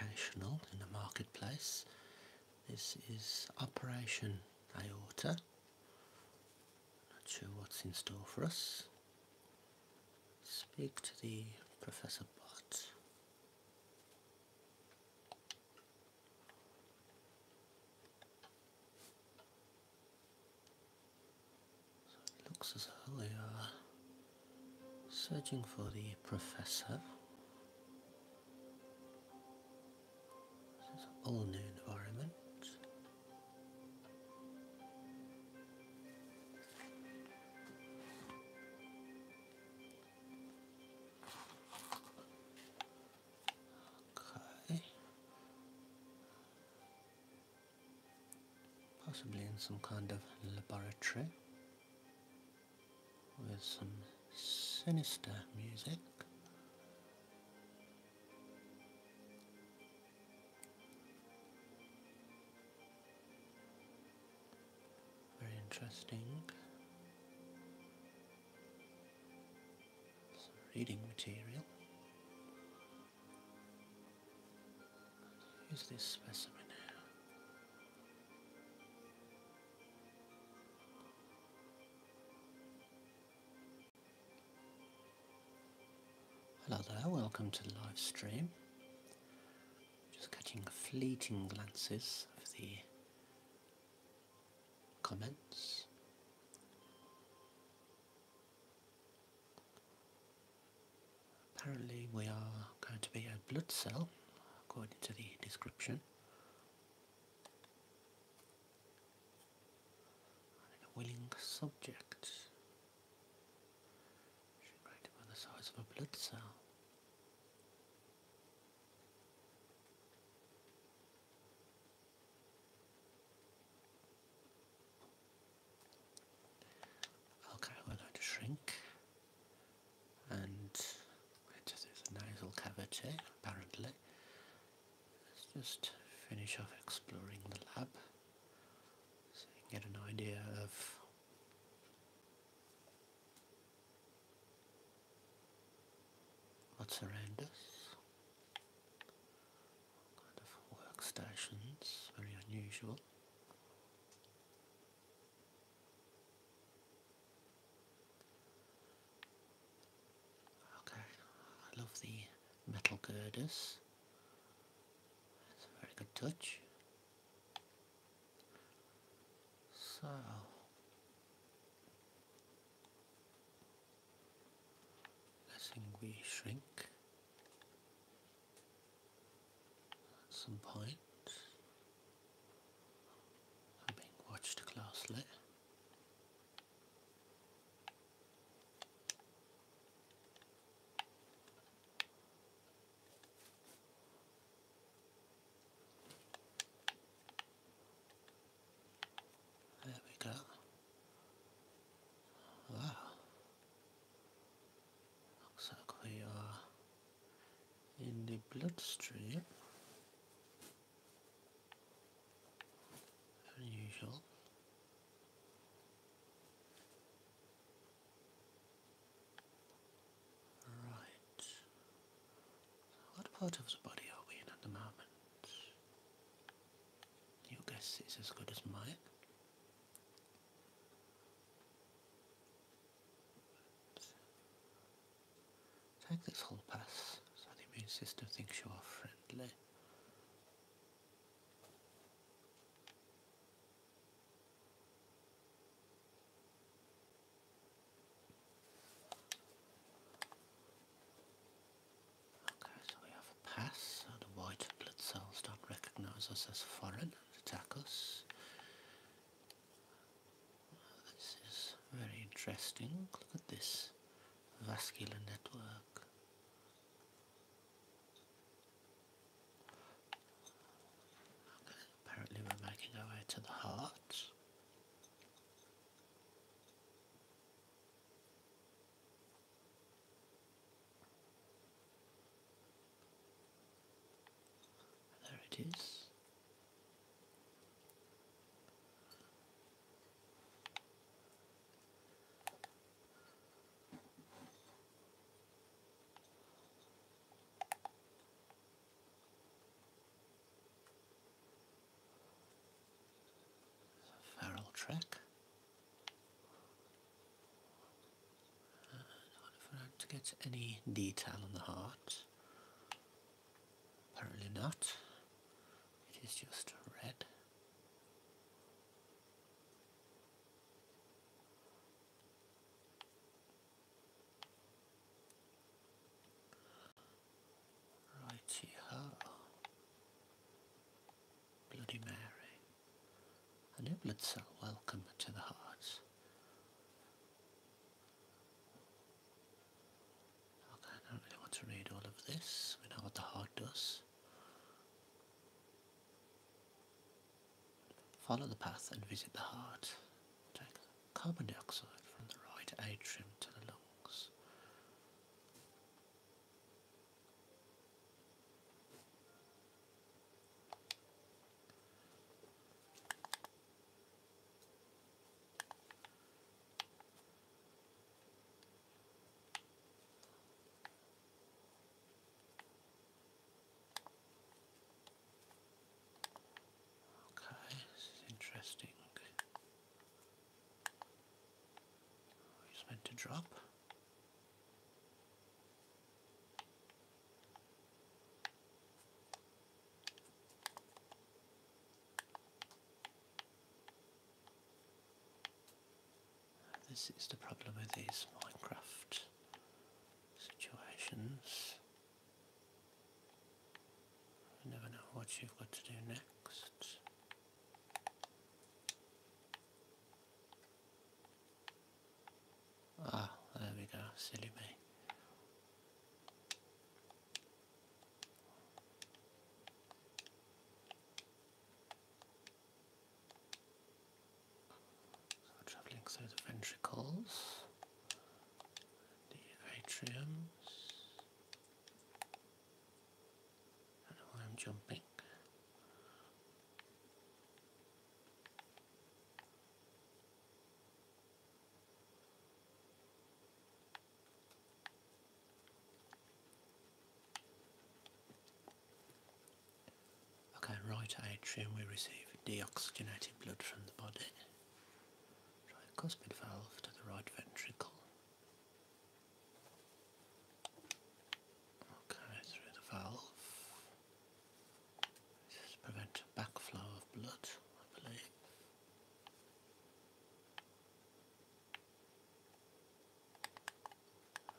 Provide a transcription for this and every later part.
occasional in the marketplace. This is Operation Aorta. Not sure what's in store for us. Speak to the Professor Bot. looks as though they are Searching for the professor. This is an all new environment. Okay. Possibly in some kind of laboratory with some sinister music. Very interesting. Some reading material. Use this specimen Hello there, welcome to the live stream. Just catching fleeting glances of the comments. Apparently we are going to be a blood cell according to the description. a willing subject the size of a blood cell. Okay, we're going to shrink and it a nasal cavity apparently. Let's just finish off exploring the lab so you can get an idea of what's around us. Kind of workstations, very unusual. Okay, I love the metal girders. It's a very good touch. So I think we shrink at some point. I'm being watched closely. There we go. Wow. Looks like we are in the bloodstream unusual right what part of the body are we in at the moment your guess is as good as mine Take this whole pass so the immune system thinks you are friendly. Okay, so we have a pass, so the white blood cells don't recognise us as foreign and attack us. This is very interesting. Look at this vascular network. apparently we're making our way to the heart. There it is. Feral track. if I don't to get any detail on the heart. Apparently not. It is just red. Righty ho. Bloody Mary. An Iblet cell, welcome to the hearts. I don't really want to read all of this. We know what the heart does. Follow the path and visit the heart. Take carbon dioxide from the right atrium to the lungs. Okay, this is interesting. He's oh, meant to drop. This is the problem with these Minecraft situations. You never know what you've got to do next. Ah, there we go, silly me. So traveling through the ventricles, the atriums, I know why I'm jumping. Okay, right atrium, we receive deoxygenated blood from the body. Tricuspid valve to the right ventricle. Okay, through the valve. This to prevent backflow of blood, I believe.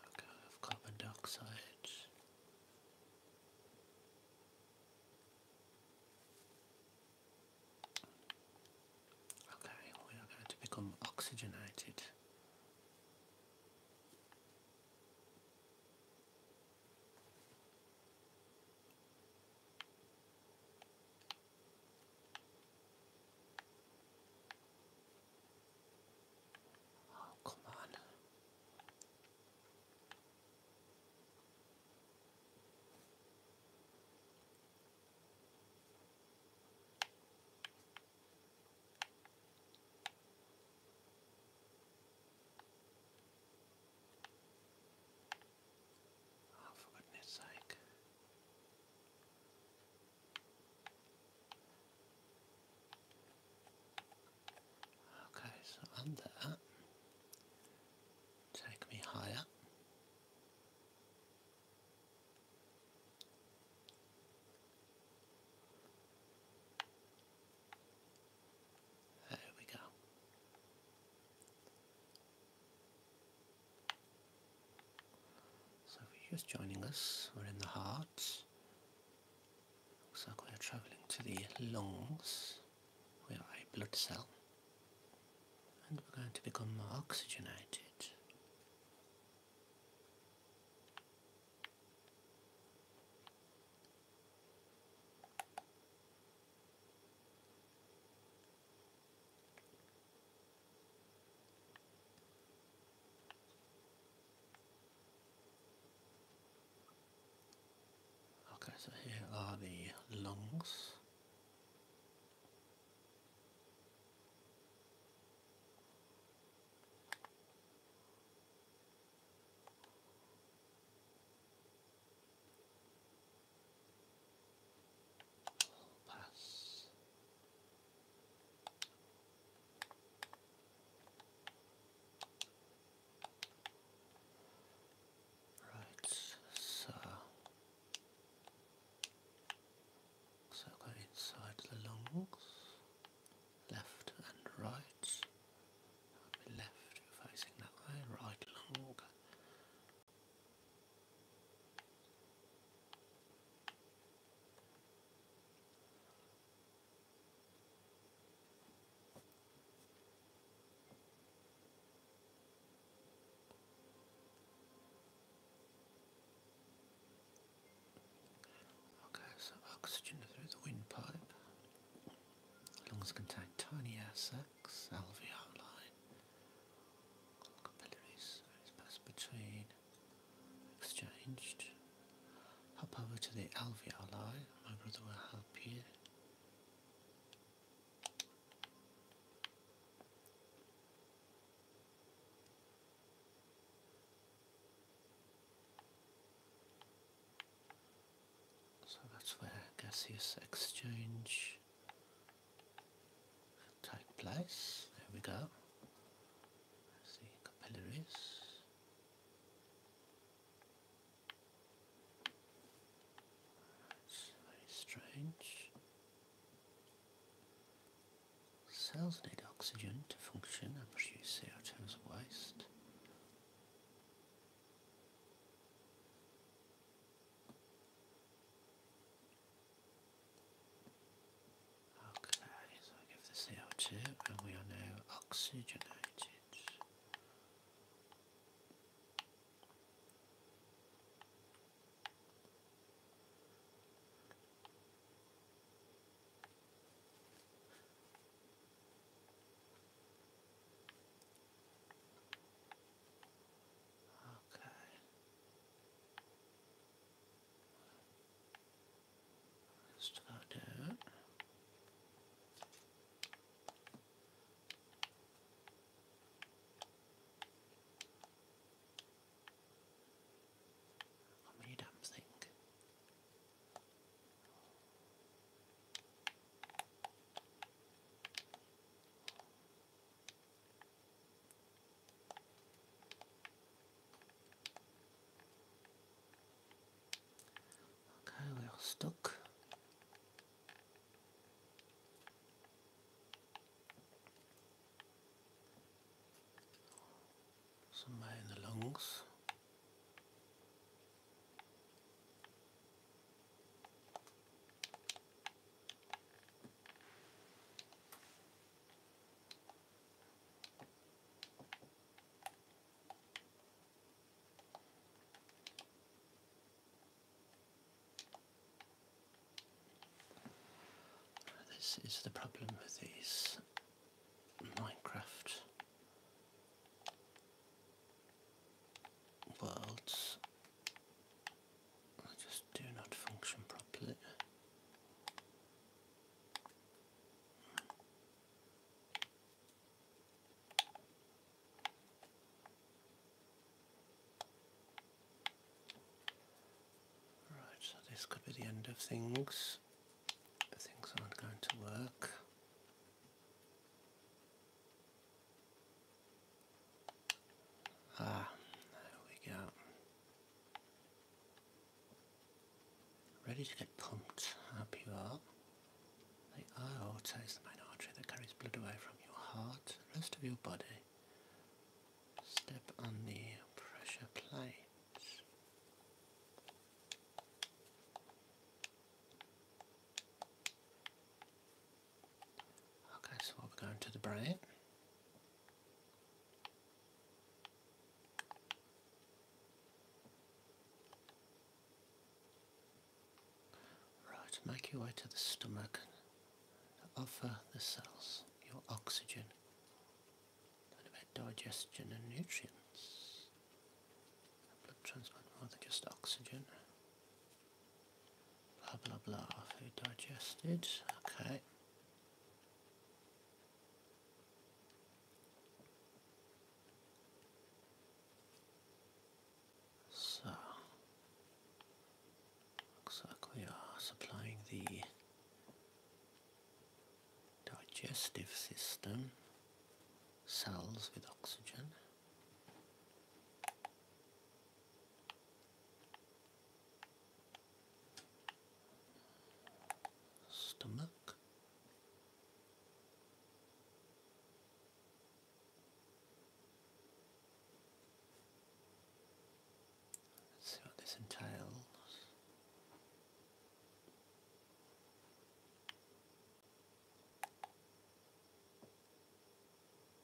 Okay, I carbon dioxide. Okay, we are going to become oxygenated. Oh, come on. Oh, for goodness sake. Okay, so under that, take me higher. There we go. So if you're just joining us, we're in the heart. Looks like we're travelling to the lungs. where are a blood cell. And we're going to become more oxygenated. Okay, so here are the lungs pass. Right, so so go inside the lungs, left and right. I'll be left facing that way, right along. Okay, so oxygen through the windpipe. Lungs contain tiny air sacs complex LV outline. Capillaries is passed between, exchanged. Hop over to the LV outline, my brother will help you. So that's where gaseous exchange can take place. There we go. There's capillaries. That's very strange. Cells need oxygen to function and produce CO2 as waste. Okay, so I give the L2 and we are now oxygenated. Okay. Let's go down. How many damn thing? Okay, we are stuck. Somewhere in the lungs. This is the problem with these Minecraft worlds just do not function properly. Right, so this could be the end of things. Things aren't going to work. Ah, there we go. Ready to get pumped, up you are. The aorta is the main artery that carries blood away from your heart, the rest of your body. Step on the pressure plate. Okay, so we're going to the brain. Right, make your way to the stomach offer the cells your oxygen and about digestion and nutrients. Blood transport more than just oxygen. Blah, blah, blah. Food digested. Okay. So, looks like we are supplying the digestive system cells with oxygen. Stomach. Let's see what this entails.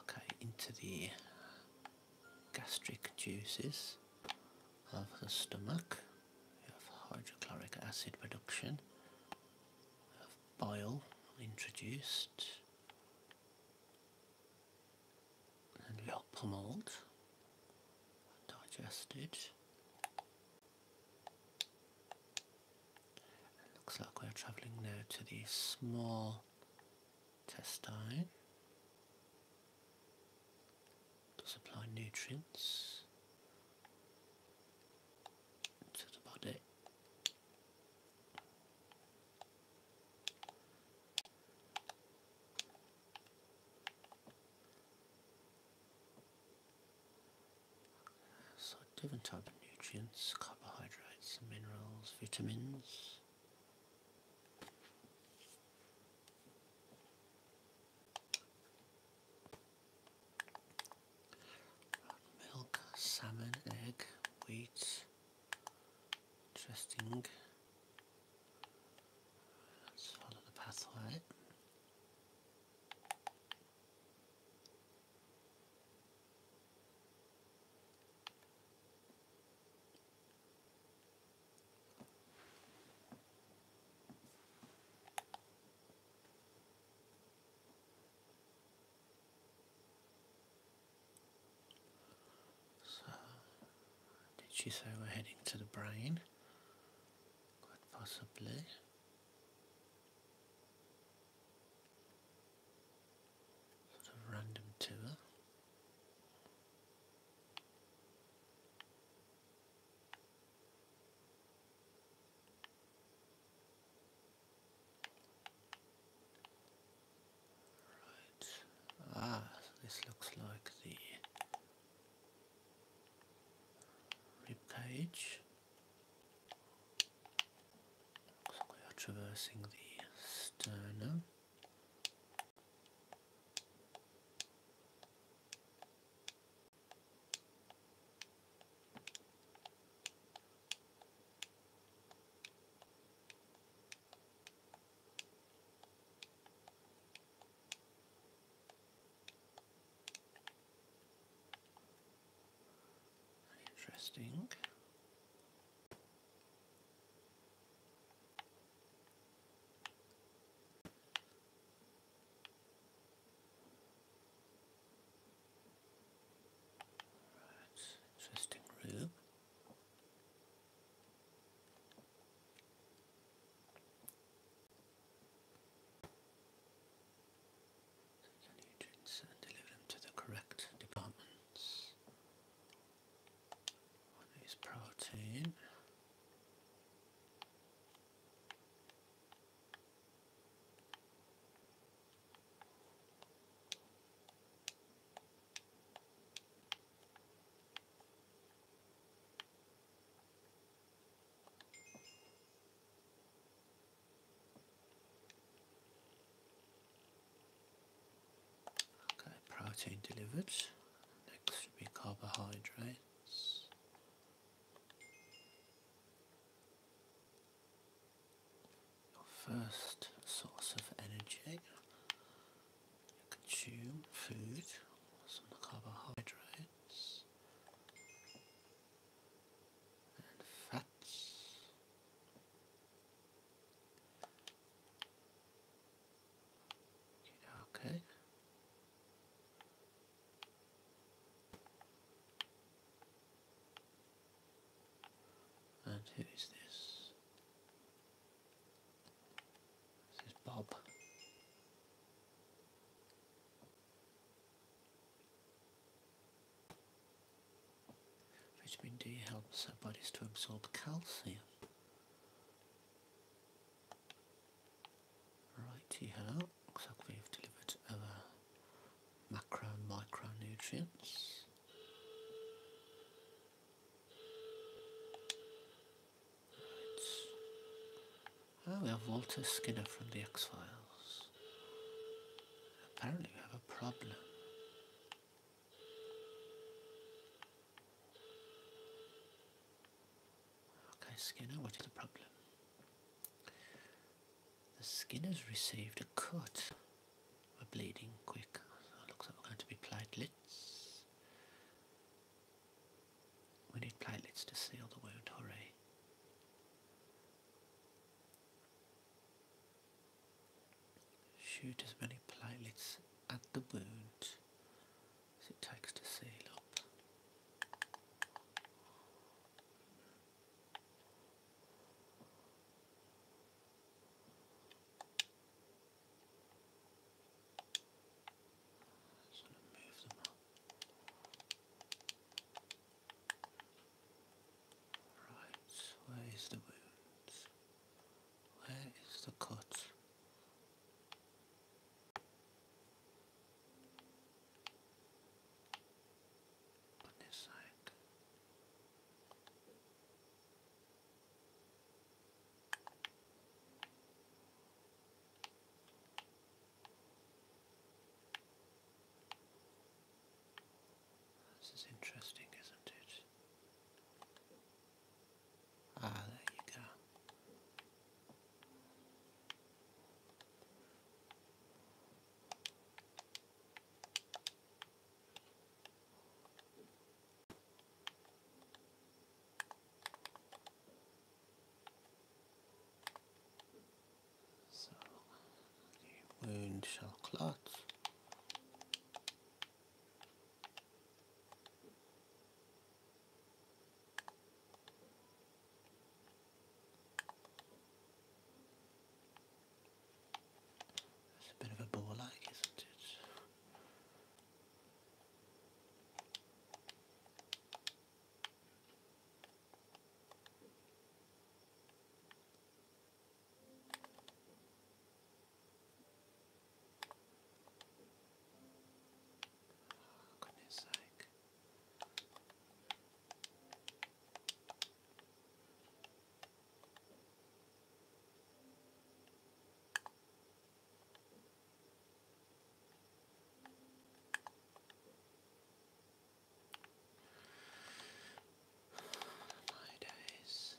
Okay, into the gastric juices of the stomach. of hydrochloric acid production. of bile introduced and lot pummeled, digested. looks like we're travelling now to the small intestine to supply nutrients to the body. So different types of nutrients, carbohydrates, minerals, vitamins. Milk, salmon, egg, wheat. Interesting. Let's follow the pathway. So, did she say we're heading to the brain? Quite possibly. Sort of random tour. Right. Ah, this looks like the Rib Looks we are traversing the sternum. Interesting. Right, interesting room. Take your nutrients and deliver them to the correct departments. One is protein. Okay, protein delivered. Next should be carbohydrates. Your first source of energy consume food, some carbohydrates and fats. Okay. And who is this? This is Bob. Vitamin D helps our bodies to absorb calcium. Righty hello. looks like we've delivered our macro and micronutrients. Oh, we have Walter Skinner from the X-Files. Apparently we have a problem. Okay, Skinner, what is the problem? The skin has received a cut. We're bleeding quick. looks like we're going to be platelets. We need platelets to seal the wound, hurry. Shoot as many platelets at the wound as it takes to seal up. Right, where is the wounds? Where is the cut? On this side. This is interesting, isn't it? Ah, there you go. So the wound shall clot. a bit of a bore, like, isn't it? Oh, goodness sake. My days.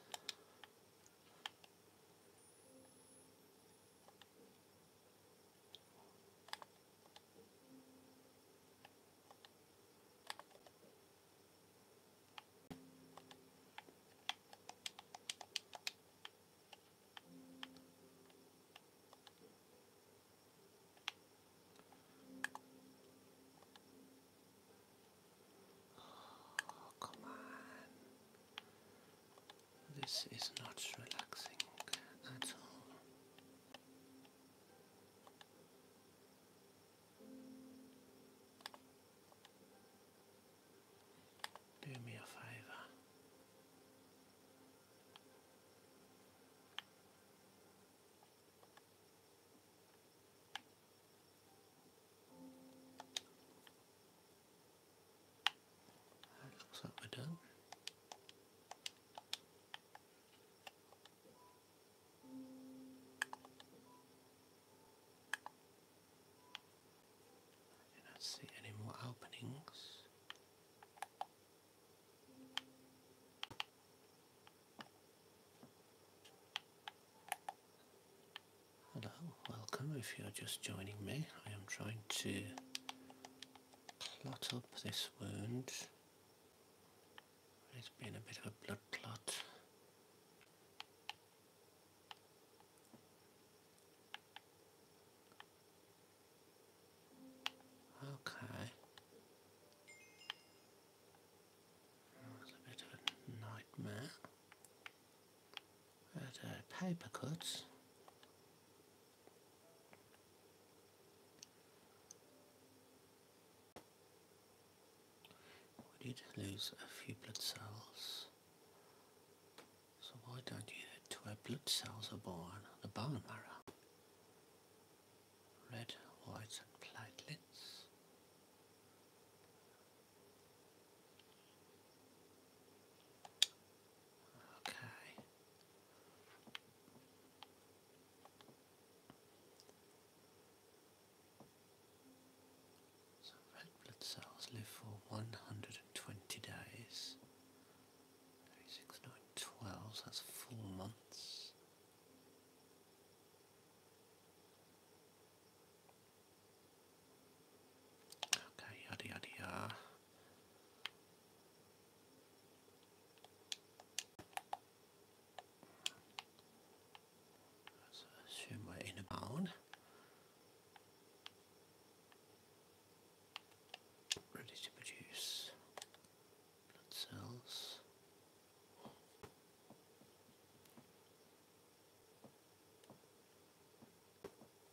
Oh, come on. This is not relaxing at all. Do me a favor. That we done. I do not see any more openings. Hello, welcome. If you're just joining me, I am trying to clot up this wound. It's been a bit of a blood clot. Okay. a bit of a nightmare. Uh, paper cuts. Would you lose a few blood cells. So why don't you head to where blood cells are born, the bone marrow? Red, white and platelets. Okay. So red blood cells live for 120 days Six, that's four months. Okay, yada yada yada. Let's assume we're in ready to produce blood cells.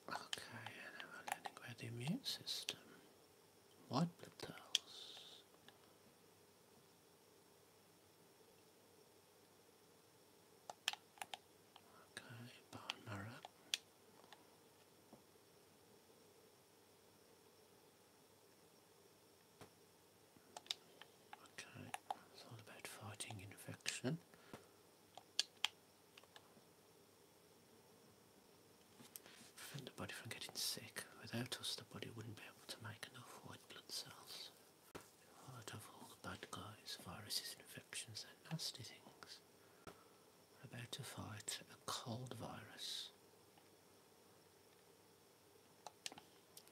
Okay, and we're learning about the immune system. White blood cells. Okay, bone Okay, it's all about fighting infection. Prevent the body from getting sick. Without us, the body wouldn't be able to make enough white blood cells. Out of all the bad guys, viruses infections, they're nasty things about to fight a cold virus.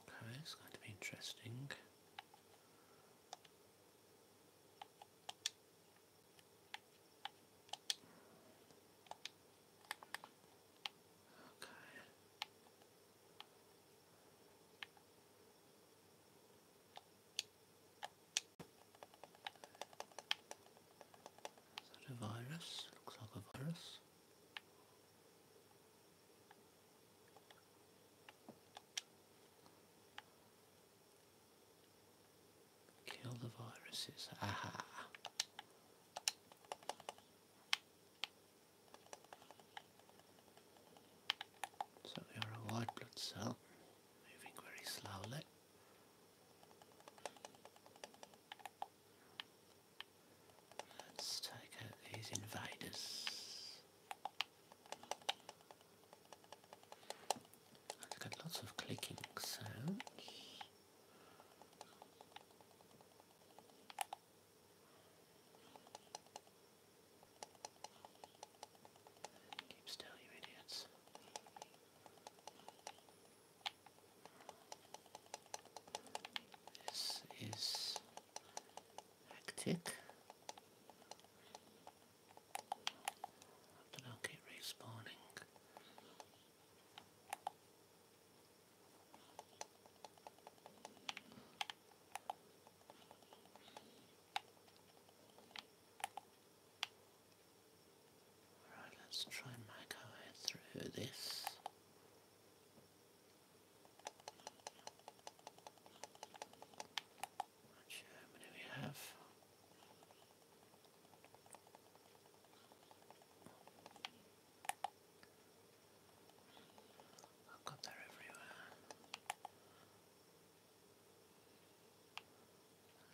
Okay, it's going to be interesting. Okay. Is that a virus? Looks like a virus. Kill the viruses. Aha. So we are a white blood cell, moving very slowly. Let's take out these invaders. I've got lots of clicking sounds. Keep still, you idiots. This is hectic. But i respawning. Alright, let's try and make our way through this. Not sure how many we have. I've got that everywhere.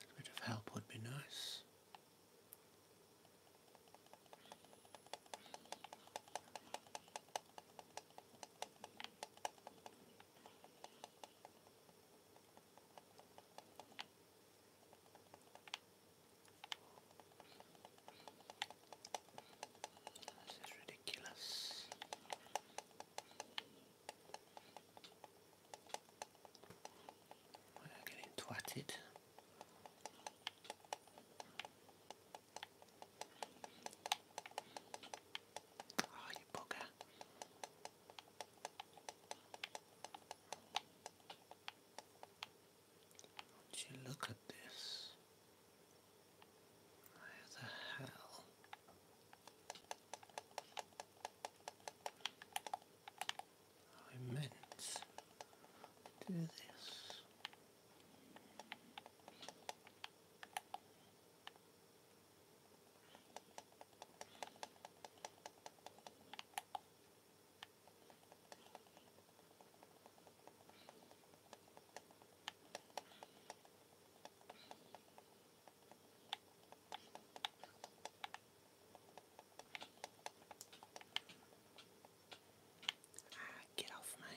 A bit of help would be nice. This is ridiculous. We're getting twatted. Oh, you bugger. Would you look at this? How the hell? I meant to do this get off me.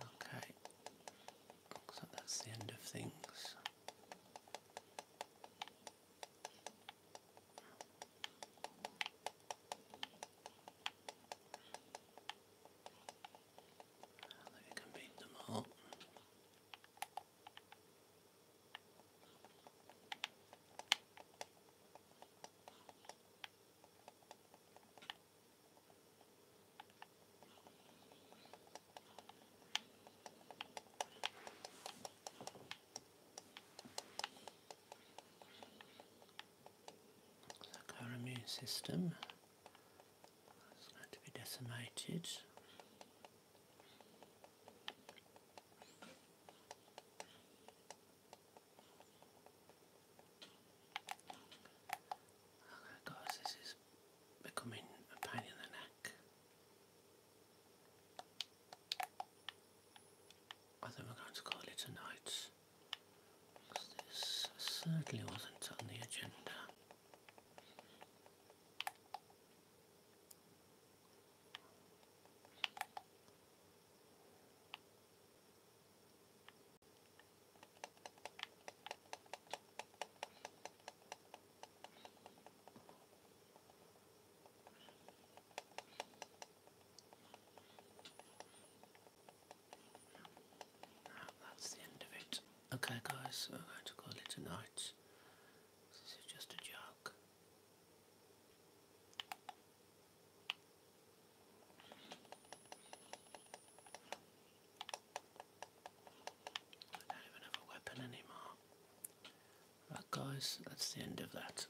Okay, looks that's the end of things. I think I can beat them all our immune system is going to be decimated. Okay oh, guys, this is becoming a pain in the neck. I think we're going to call it a night. This certainly wasn't on the agenda that's the end of it. Okay guys, I'm going to call it a night. This is just a joke. I don't even have a weapon anymore. Right guys, that's the end of that.